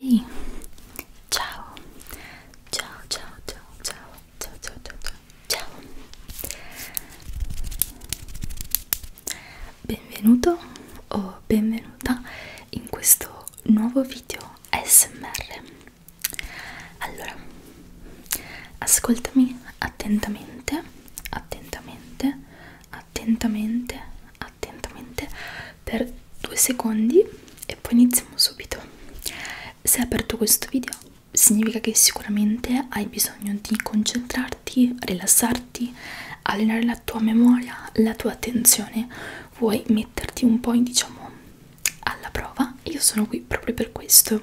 Ehi, ciao. Ciao, ciao, ciao, ciao, ciao, ciao, ciao, ciao, ciao. Benvenuto o benvenuta in questo nuovo video ASMR. Allora, ascoltami attentamente, attentamente, attentamente, attentamente per due secondi e poi iniziamo subito se hai aperto questo video significa che sicuramente hai bisogno di concentrarti rilassarti allenare la tua memoria la tua attenzione vuoi metterti un po' in, diciamo alla prova io sono qui proprio per questo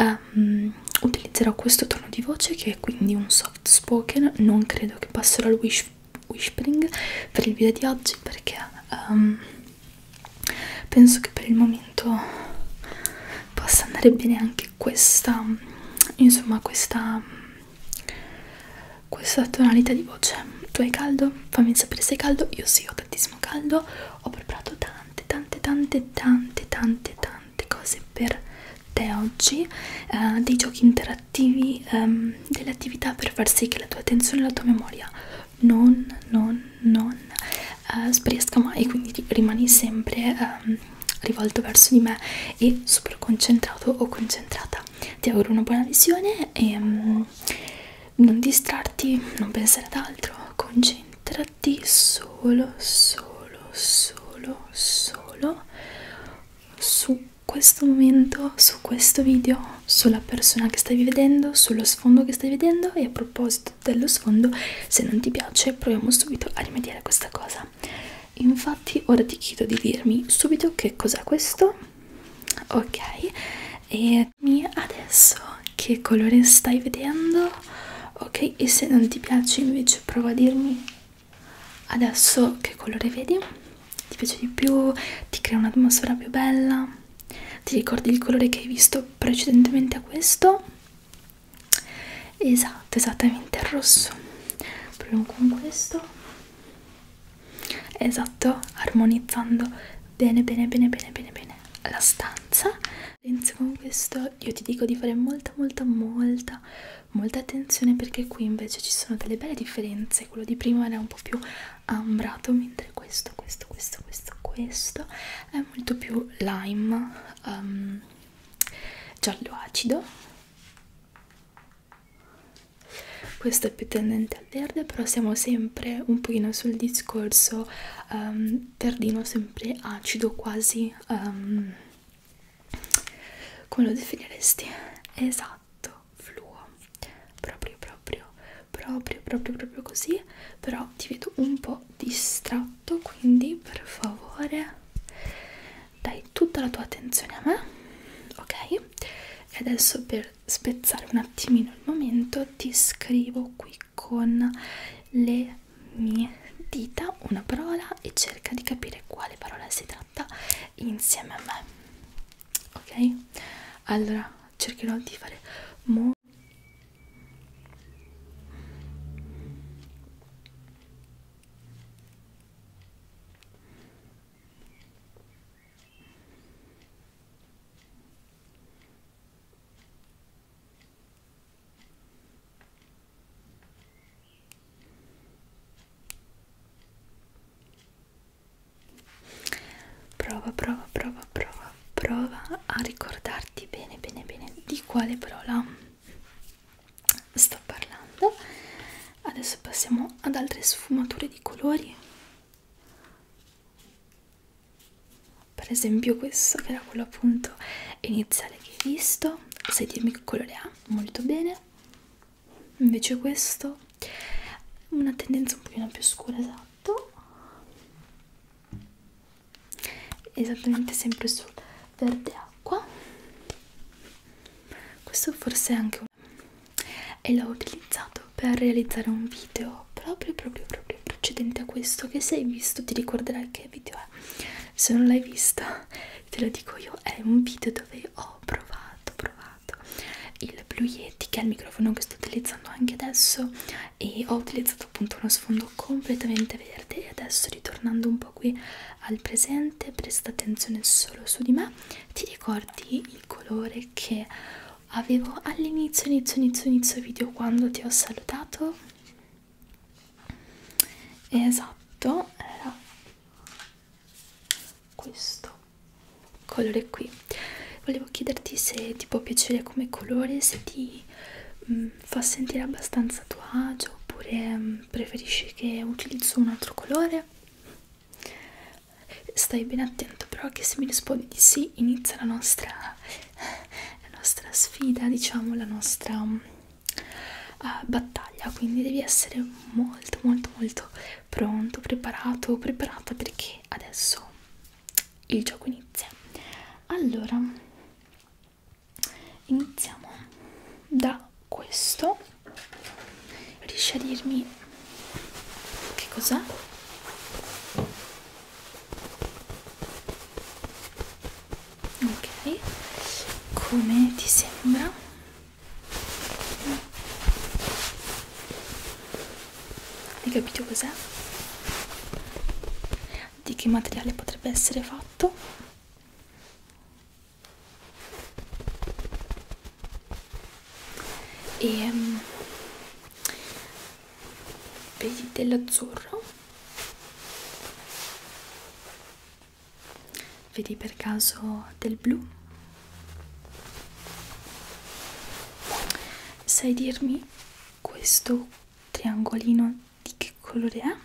um, utilizzerò questo tono di voce che è quindi un soft spoken non credo che passerò al wish whispering per il video di oggi perché um, penso che per il momento possa andare bene anche questa insomma questa questa tonalità di voce tu hai caldo? fammi sapere se hai caldo io sì ho tantissimo caldo ho preparato tante tante tante tante tante tante cose per te oggi eh, dei giochi interattivi attrattivi um, ehm, delle attività per far sì che la tua attenzione e la tua memoria non, non, non uh, sbriesca mai, quindi rimani sempre um, rivolto verso di me e super concentrato o concentrata. Ti auguro una buona visione e um, non distrarti, non pensare ad altro, concentrati solo, solo, solo, solo su questo momento, su questo video, sulla persona che stavi vedendo, sullo sfondo che stai vedendo e a proposito dello sfondo, se non ti piace proviamo subito a rimediare a questa cosa. Infatti ora ti chiedo di dirmi subito che cos'è questo, ok, e dimmi adesso che colore stai vedendo, ok, e se non ti piace invece prova a dirmi adesso che colore vedi ti piace di più, ti crea un'atmosfera più bella, ti ricordi il colore che hai visto precedentemente a questo? Esatto, esattamente il rosso. Proviamo con questo. Esatto, armonizzando bene, bene, bene, bene, bene, bene la stanza. Inizio con questo, io ti dico di fare molta, molta, molta, molta attenzione perché qui invece ci sono delle belle differenze. Quello di prima era un po' più ambrato mentre questo, questo, questo, questo, questo è molto più lime um, giallo acido questo è più tendente al verde però siamo sempre un pochino sul discorso um, verdino sempre acido quasi um, come lo definiresti? esatto matto fluo proprio proprio proprio proprio proprio così però ti vedo un po' distratto quindi per favore dai tutta la tua attenzione a me ok e adesso per spezzare un attimino il momento ti scrivo qui con le mie dita una parola e cerca di capire quale parola si tratta insieme a me ok allora cercherò di fare mo Prova, prova, prova, prova, prova a ricordarti bene, bene, bene di quale parola sto parlando. Adesso passiamo ad altre sfumature di colori. Per esempio questo che era quello appunto iniziale che hai visto. Sai dirmi che colore ha? Molto bene invece questo una tendenza un pochino più scura esatto esattamente sempre sul verde acqua questo forse è anche un e l'ho utilizzato per realizzare un video proprio proprio proprio precedente a questo che se hai visto ti ricorderai che video è se non l'hai visto te lo dico io è un video dove ho provato provato il Blue Yeti che è il microfono che sto utilizzando anche adesso e ho utilizzato appunto uno sfondo completamente verde e adesso ritornando un po' qui al presente presta attenzione solo su di me ti ricordi il colore che avevo all'inizio inizio inizio inizio video quando ti ho salutato esatto era questo colore qui volevo chiederti se ti può piacere come colore se ti mh, mm, fa sentire abbastanza a tuo agio oppure mh, mm, preferisci che utilizzo un altro colore stai ben attento però che se mi rispondi di sì inizia la nostra la nostra sfida diciamo la nostra uh, battaglia quindi devi essere molto molto molto pronto, preparato, preparata perché adesso il gioco inizia. Allora, iniziamo da questo. Riesci a dirmi che cos'è? Ok, come ti sembra? Hai capito cos'è? Di che materiale potrebbe essere fatto? E um, vedi dell'azzurro Vedi per caso del blu? Sai dirmi questo triangolino di che colore è?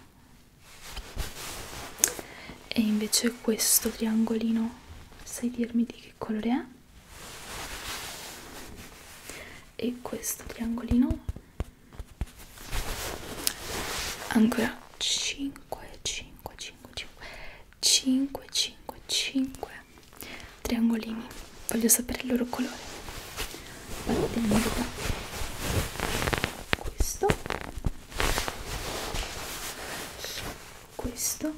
E invece questo triangolino, sai dirmi di che colore è? E questo triangolino? Ancora 5, 5, 5, 5. 5 5 5 triangolini voglio sapere il loro colore partiamo da questo questo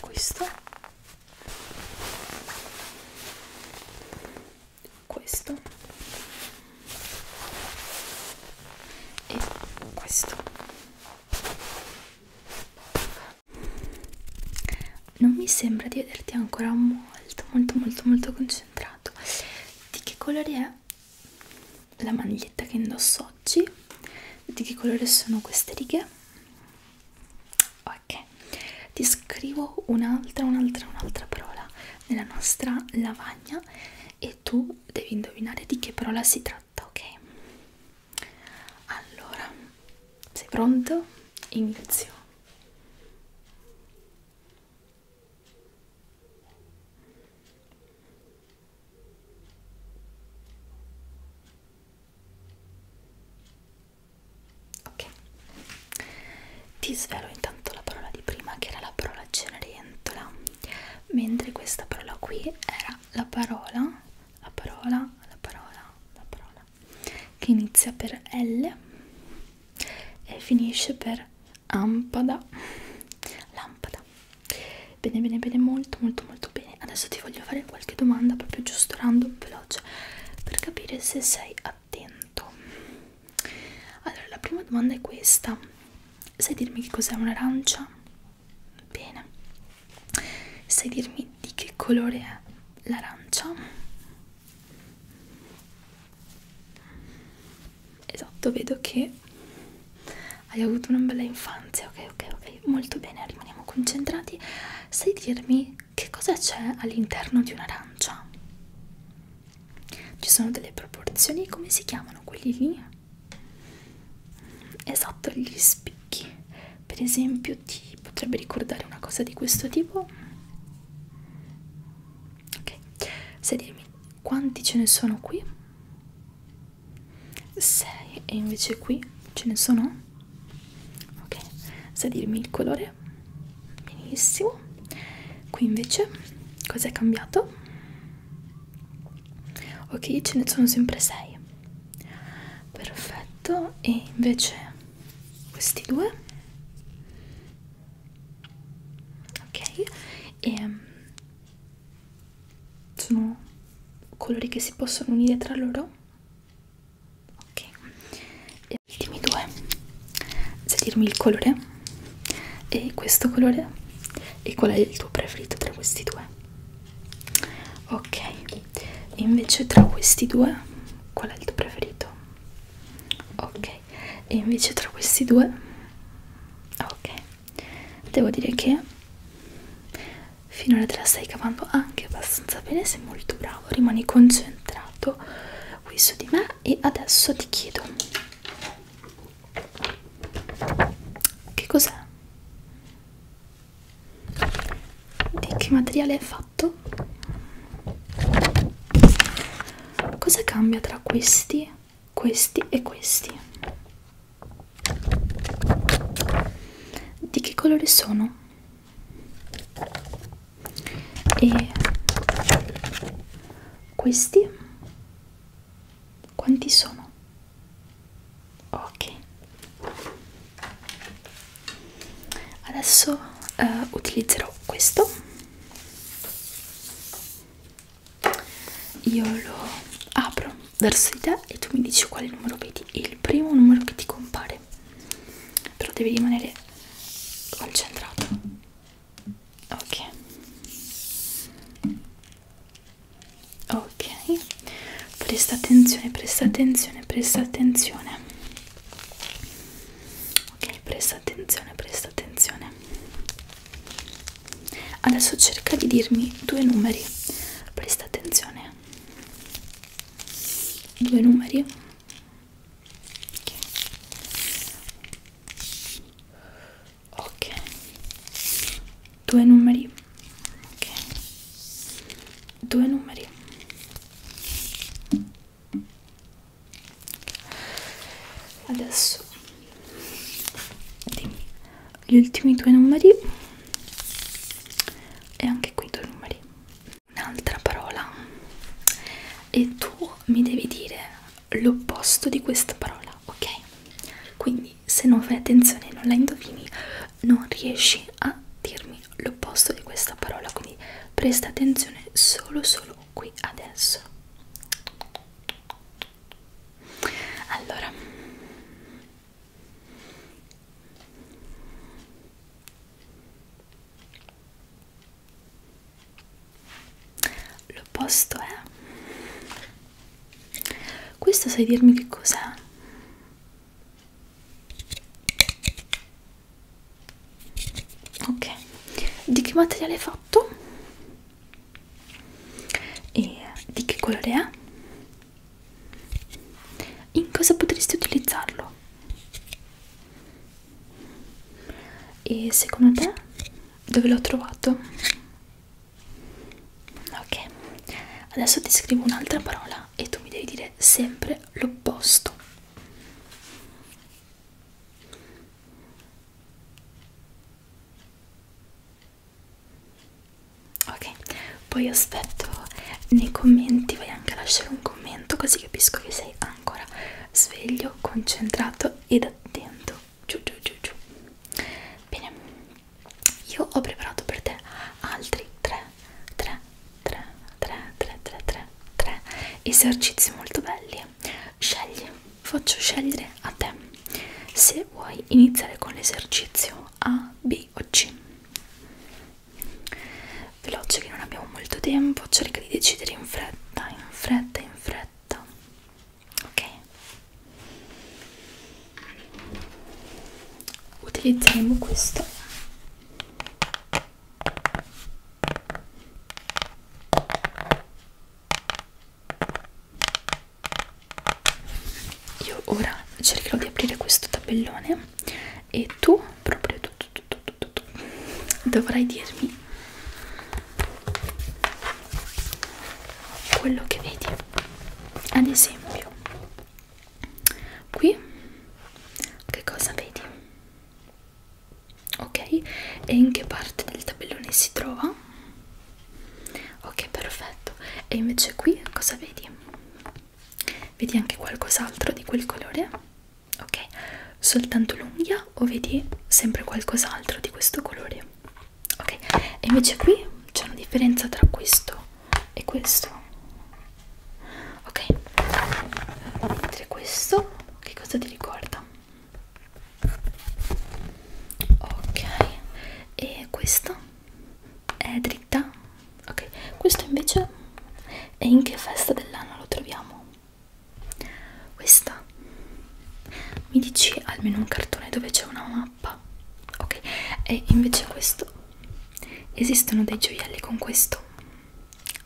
questo questo e questo non mi sembra di vederti ancora molto molto molto molto concentrato di che colore è la maglietta che indosso oggi di che colore sono queste righe ok ti scrivo un'altra un'altra un'altra parola nella nostra lavagna parola e tu devi indovinare di che parola si tratta, ok? Allora, sei pronto? Inizio. Ok, ti svelo intanto la parola di prima che era la parola cenerentola, mentre questa parola qui era la parola, la parola, la parola, la parola che inizia per L e finisce per ampada, lampada. Bene, bene, bene, molto, molto, molto bene. Adesso ti voglio fare qualche domanda proprio giusto random, veloce, per capire se sei a attento allora la prima domanda è questa sai dirmi che cos'è un'arancia? bene sai dirmi di che colore è l'arancia? esatto vedo che hai avuto una bella infanzia ok ok ok molto bene rimaniamo concentrati sai dirmi che cosa c'è all'interno di un'arancia? ci sono delle proporzioni come si chiamano quelli lì esatto gli spicchi per esempio ti potrebbe ricordare una cosa di questo tipo ok sai dirmi quanti ce ne sono qui 6 e invece qui ce ne sono ok sai dirmi il colore benissimo qui invece cos'è cambiato? ok ce ne sono sempre 6 perfetto e invece questi due ok e mm, sono colori che si possono unire tra loro ok e ultimi due se dirmi il colore e questo colore e qual è il tuo preferito tra questi due ok invece tra questi due qual è il tuo preferito ok e invece tra questi due ok devo dire che finora te la stai cavando anche abbastanza bene sei molto bravo rimani concentrato qui su di me e adesso ti chiedo che cos'è? Di che materiale è fatto? Cosa cambia tra questi, questi e questi? Di che colore sono? e questi quanti sono? ok adesso eh, utilizzerò questo io lo apro verso di te e tu mi dici quale numero vedi il primo numero che ti compare però devi rimanere concentrato ok ok presta attenzione presta attenzione presta attenzione ok presta attenzione presta attenzione adesso cerca di dirmi due numeri presta attenzione due numeri ok due numeri ok due numeri adesso dimmi gli ultimi due numeri e anche qui due numeri un'altra parola e tu mi devi dire l'opposto di questa parola, ok? Quindi se non fai attenzione e non la indovini, non riesci a dirmi l'opposto di questa parola, quindi presta attenzione solo solo qui adesso. Allora L'opposto è... Questo sai dirmi che cos'è? Ok, di che materiale è fatto? E di che colore è? In cosa potresti utilizzarlo? E secondo te dove l'ho trovato? Ok, adesso ti scrivo un'altra parola e tu mi devi dire sempre l'opposto. Ok, poi aspetto nei commenti, vai anche a lasciare un commento così capisco che sei ancora sveglio bello, concentrato ed attento. Giù, giù, giù, giù. Bene, io ho preparato per te altri 3, 3, 3, 3, 3, 3, 3, 3 esercizi molto belli. Scegli, faccio scegliere a te se vuoi iniziare con l'esercizio A, B o C veloce che non abbiamo molto tempo cerca di decidere in fretta in fretta in fretta ok utilizzeremo questo io ora cercherò di aprire questo tabellone e tu proprio tu dovrai dirmi quello che vedi ad esempio qui che cosa vedi ok e in che parte del tabellone si trova ok perfetto e invece qui cosa vedi vedi anche qualcos'altro di quel colore ok soltanto l'unghia o vedi sempre qualcos'altro di questo colore ok e invece qui c'è una differenza tra questo e questo ok mentre questo che cosa ti ricorda ok e questa è dritta ok questo invece e in che festa dell'anno lo troviamo questa mi dici almeno un cartone dove c'è una mappa, ok? E invece questo esistono dei gioielli con questo,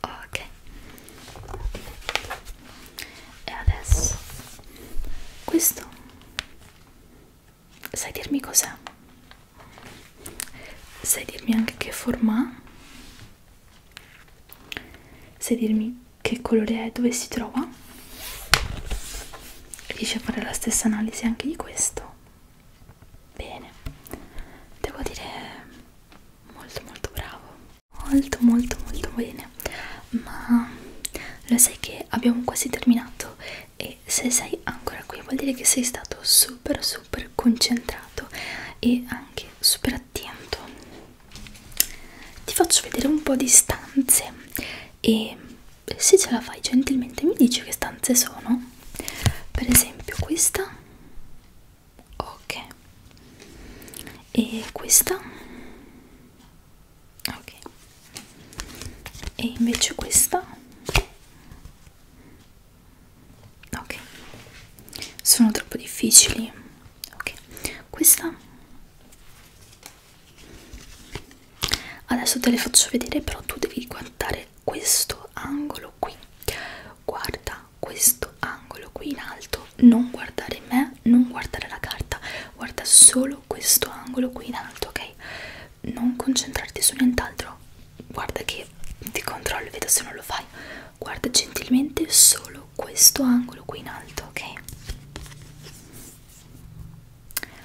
ok? E adesso questo sai dirmi cos'è? Sai dirmi anche che forma ha? Se dirmi che colore è, dove si trova, riesci a fare la stessa analisi anche di questo. Bene, devo dire molto molto bravo, molto molto molto bene, ma lo sai che abbiamo quasi terminato e se sei ancora qui vuol dire che sei stato super super concentrato e anche super stare attento ti faccio vedere un po' di stanze e se ce la fai gentilmente mi dici che stanze sono per esempio questa ok e questa ok e invece questa ok sono troppo difficili ok questa adesso te le faccio vedere però tu devi guardare questo angolo qui guarda questo angolo qui in alto non guardare me non guardare la carta guarda solo questo angolo qui in alto ok non concentrarti su nient'altro guarda che e ti controllo e vedo se non lo fai guarda gentilmente solo questo angolo qui in alto ok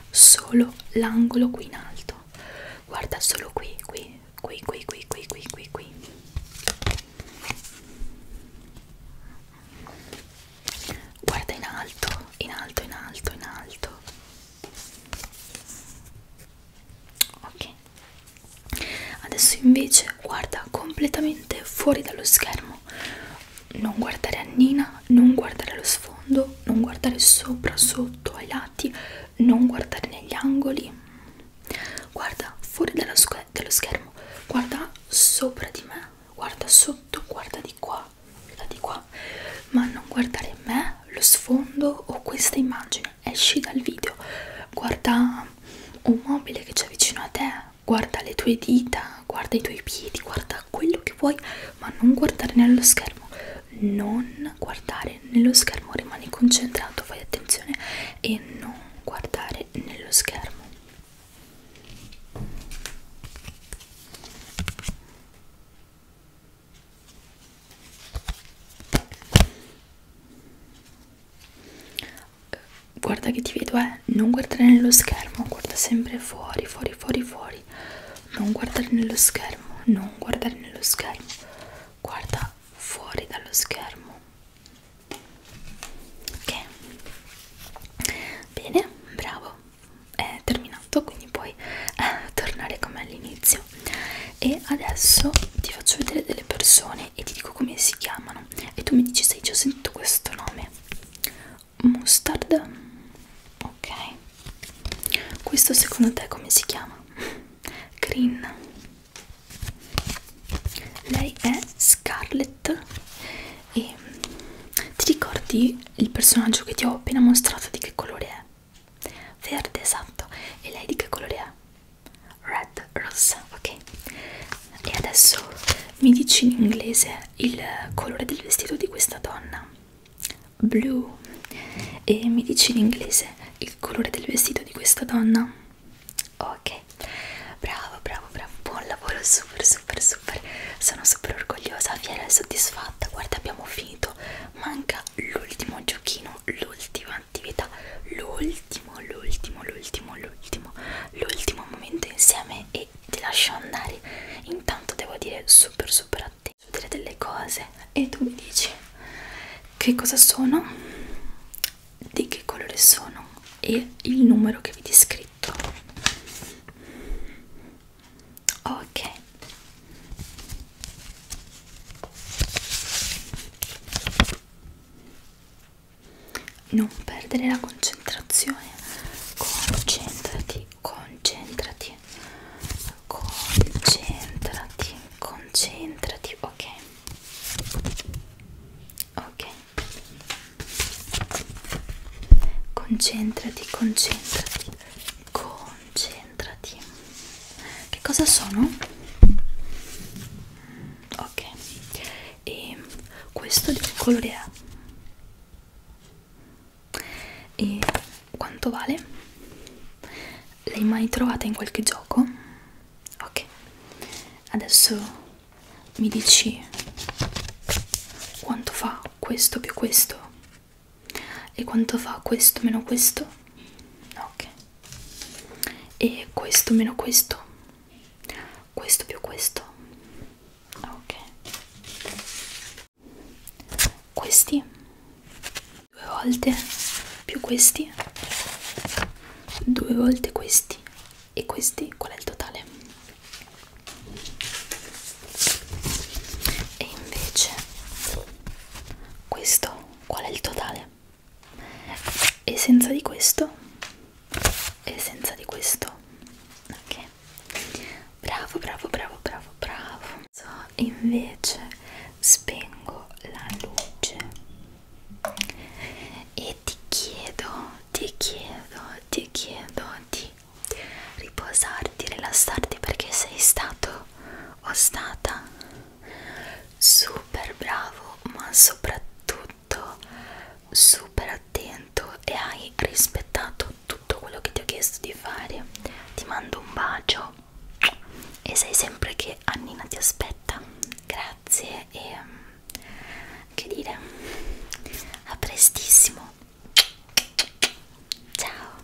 solo l'angolo qui in alto guarda solo qui qui qui qui qui qui qui qui qui guarda in alto in alto in alto in alto ok adesso invece guarda completamente fuori dallo schermo non guardare a Nina non guardare allo sfondo non guardare sopra sotto ai lati non guardare negli angoli guarda fuori dallo, dallo schermo guarda sopra di me guarda sotto guarda di qua da di qua ma non guardare me lo sfondo o questa immagine esci dal video, guarda un mobile che c'è vicino a te, guarda le tue dita, guarda i tuoi piedi, guarda quello che vuoi, ma non guardare nello schermo, non guardare nello schermo, rimani concentrato, fai attenzione e non guardare nello schermo guarda che ti vedo eh non guardare nello schermo guarda sempre fuori fuori fuori fuori non guardare nello schermo non guardare nello schermo guarda fuori dallo schermo ok bene bravo è terminato quindi puoi eh, tornare come all'inizio e adesso ti faccio vedere delle persone persone e ti dico come si chiamano e tu mi dici se hai già sentito questo nome mustard ok questo secondo te come si chiama green lei è scarlet e mm, ti ricordi il personaggio che ti ho appena mostrato di che colore è verde esatto e lei di che colore è red rossa ok e adesso mi dici in inglese il colore del vestito di questa donna blu e mi dici in inglese il colore del vestito di questa donna ok bravo bravo bravo buon lavoro super super super sono super orgogliosa fiera e soddisfatta guarda abbiamo finito manca l'ultimo giochino facciamo l'ultima attività, l'ultimo, l'ultimo, l'ultimo, l'ultimo, l'ultimo momento insieme e ti lascio andare. Intanto devo dire super super attento, dire delle cose e tu mi dici che cosa sono, di che colore sono e il numero che vi ti scritto. Ok non perdere la concentrazione concentrati concentrati concentrati concentrati ok ok concentrati concentrati concentrati che cosa sono ok e questo di che colore è? e quanto vale? l'hai mai trovata in qualche gioco? ok adesso mi dici quanto fa questo più questo e quanto fa questo meno questo? ok e questo meno questo questo più questo ok questi due volte più questi due volte questi e questi qual è il totale e invece questo qual è il totale e senza di questo e senza di questo ok bravo bravo bravo bravo bravo so, invece spengo la luce e ti chiedo ti chiedo ti chiedo di riposarti rilassarti perché sei stato o stata super bravo ma soprattutto super attento e hai rispettato tutto quello che ti ho chiesto di fare ti mando un bacio e sai sempre che Annina ti aspetta grazie e mm, che dire a prestissimo ciao